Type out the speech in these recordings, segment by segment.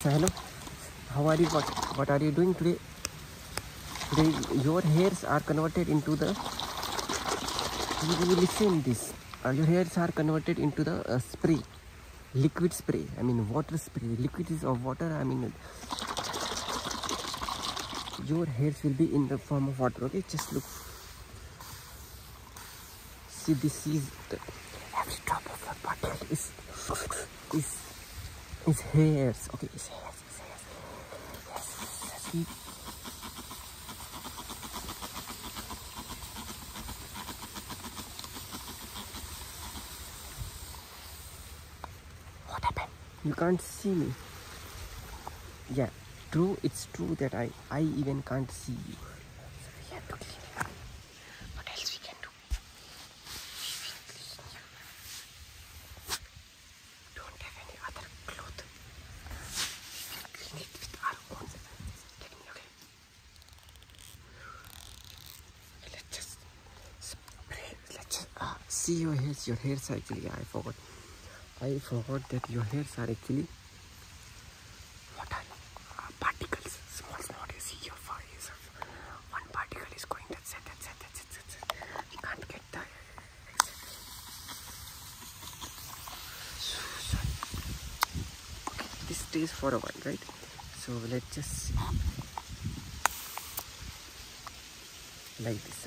So hello, how are you? What, what are you doing today? Today your hairs are converted into the. You listen this. Uh, your hairs are converted into the uh, spray, liquid spray. I mean water spray. Liquid is of water. I mean your hairs will be in the form of water. Okay, just look. See, this is the, every drop of the bottle is is is hairs. Okay, it's hairs. It's hairs. What happened? You can't see me. Yeah, true. It's true that I I even can't see you. What else we can do? Don't have any other cloth. Clean it with our own. Let me okay. Let's just spray. Let's just uh, see your hair. Your hair cycle. Yeah, I forgot. I forgot that your hairs are actually what are particles, small what you see here for is one particle is going that's it, that's it, that's it, that's it. You can't get the So, so. Okay, this stays for a while, right? So let's just Like this.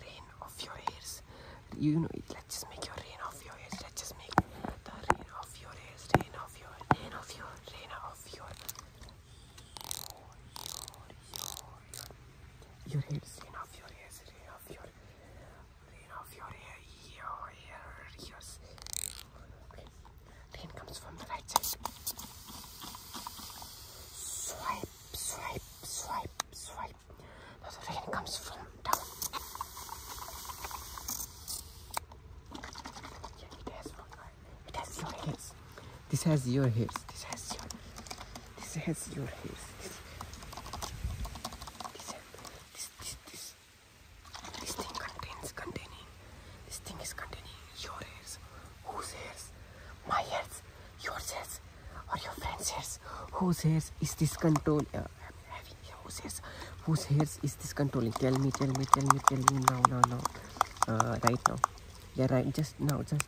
rain off your hairs. You know, let's just make your rain off your hairs. Let's just make the rain off your hairs. Rain off your, rain off your, rain off your, your, your, your, your hairs. Rain off your hairs. Rain off your, rain off your hair, your hair, ears. Rain comes from the right side. Swipe swipe, swipe, swipe, That's where it comes from down. Yeah, it has one. It has your hairs. This has your hairs. This has your. This has your hairs. This, this, this, this, this thing contains containing. This thing is containing your hairs. Whose hairs? My hairs. Yours is, or your friend's uh, hairs? Whose hairs is this controlling? Tell me, tell me, tell me, tell me now, now, now. Uh, right now. Yeah, right. Just now, just,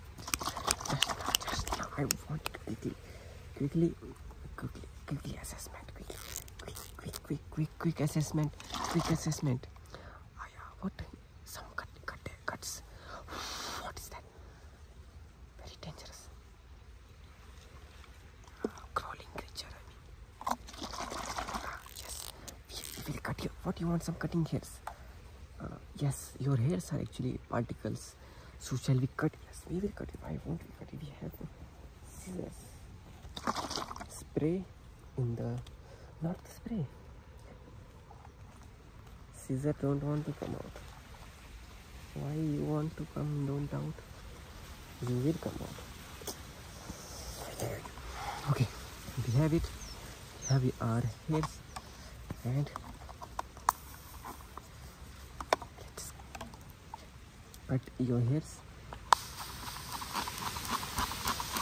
just now, just now. I want quickly, quickly, quickly, quickly assessment. Quick, quick, quick, quick, quick assessment. Quick assessment. Uh, yeah, what? some cut, cut, cuts. What is that? Very dangerous. crawling creature, I mean. Ah, yes, we will cut you. What you want? Some cutting hairs. Uh, yes, your hairs are actually particles. So shall we cut? Yes, we will cut it. Why won't we cut it? We have Spray in the north. spray. Caesar don't want to come out. Why you want to come don't out? You will come out. Okay, we have it. We have your heads and let your hairs.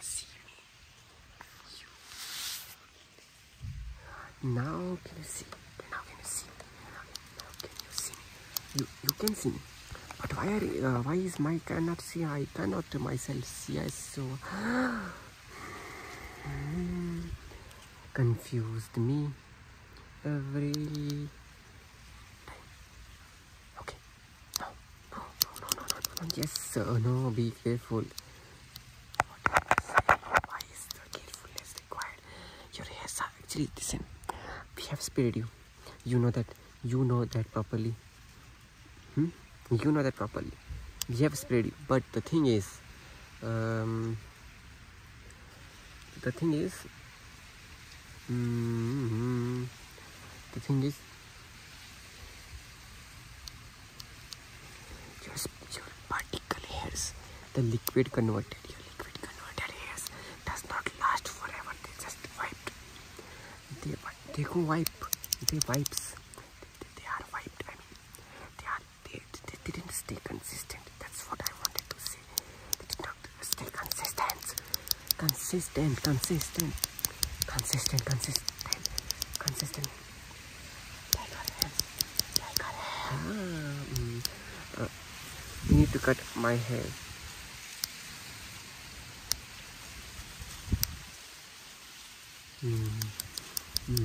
see You. Now can you see? Now can you see? Now can you see You you can see me. But why are, uh, why is my cannot see? I cannot myself see. so confused me every Okay. No. No, no, no, no, no, no. Yes, sir. No, be careful. What am carefulness required? Your hairs are actually, listen, we have spared you. You know that. You know that properly. Hmm? You know that properly. We have spared you. But the thing is, um, the thing is, Mm-hmm. The thing is, your, your particle hairs, the liquid converter, your liquid converted hairs does not last forever. They just wiped. They, they go wipe. They wipes. They, are wiped. I mean, they are they, they didn't stay consistent. That's what I wanted to see. No, stay consistent. Consistent, consistent. Consistent, consistent. Consistent. Take out hands. Take out hands. Ah, mm. Uh, need to cut my hair. -hmm. No, no,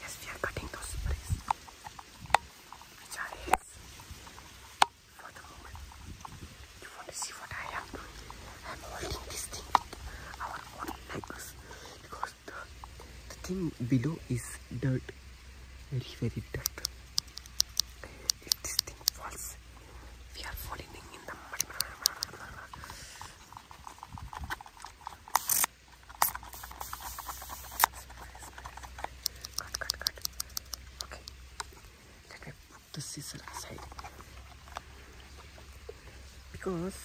Yes, we are cutting those sprays which the moment. You want to see what I am doing? I am holding this thing our own legs because the, the thing below is dirt, very, very dirt. If this thing falls, we are falling in the mud. Cut, Let me put the scissor aside. Because,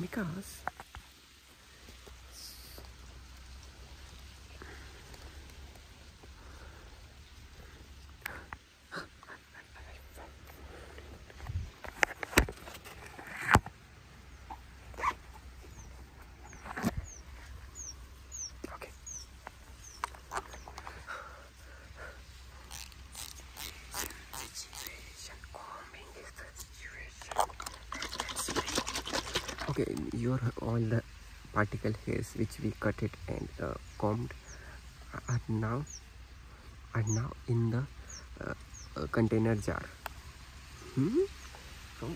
because, okay you're all the particle hairs which we cut it and uh, combed are now are now in the uh, uh, container jar hmm? so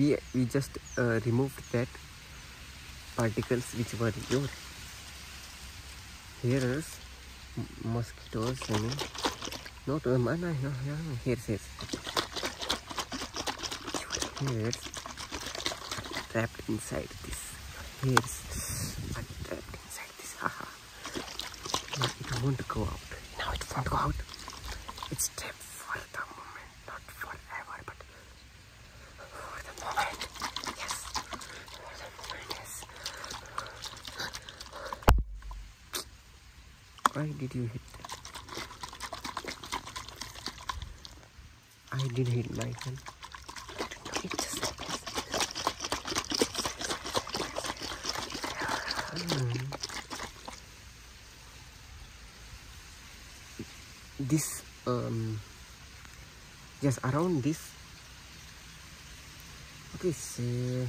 we we just removed that particles which were your hairs mosquitoes and not uh, man, I know, yeah, hairs, hairs. is. Hairs trapped inside this. Hairs are trapped inside this. Haha. No, it won't go out. Now it won't go out. It's trapped for the moment, not forever, but for the moment. Yes. For the moment, yes. Why did you hit that? I did hit my gun. Hmm. this um just around this okay so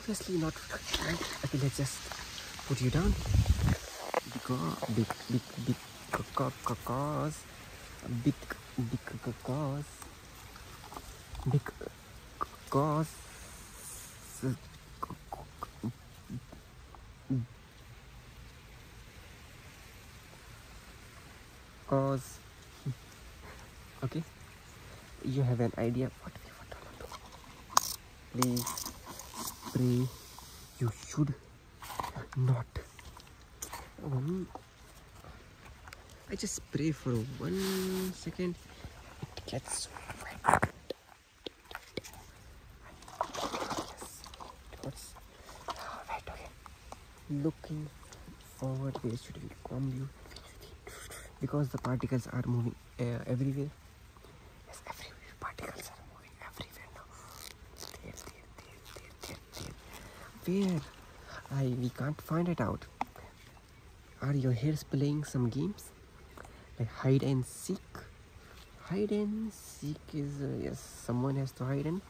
obviously not okay let's just put you down because big big big because big big because big because cause okay you have an idea what we want to do please pray you should not um, I just pray for one second it gets wet right, okay. looking forward there should be calm view because the particles are moving uh, everywhere Yes, every particles are moving everywhere now. There, there, there, there, there, there. Where? I we can't find it out. Are your hairs playing some games? Like hide and seek? Hide and seek is uh, yes. Someone has to hide and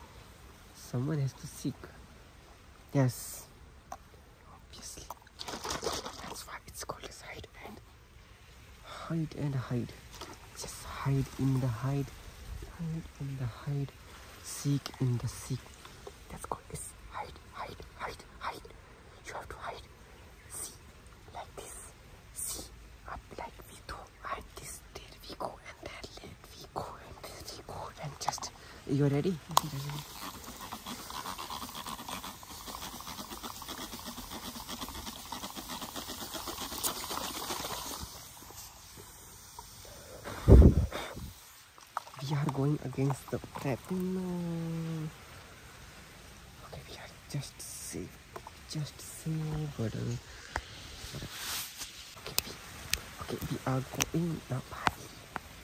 someone has to seek. Yes obviously. That's why it's called as hide and hide and hide. Just hide in the hide, hide in the hide, seek in the seek. That's called as hide, hide, hide, hide. You have to hide. See, like this. See, up like we do. And this, there we go, and that, there we go, and this we go, and just you're ready? We are going against the trap. Okay, we are just safe. Just safe, brother. Uh, okay, okay, we are going now.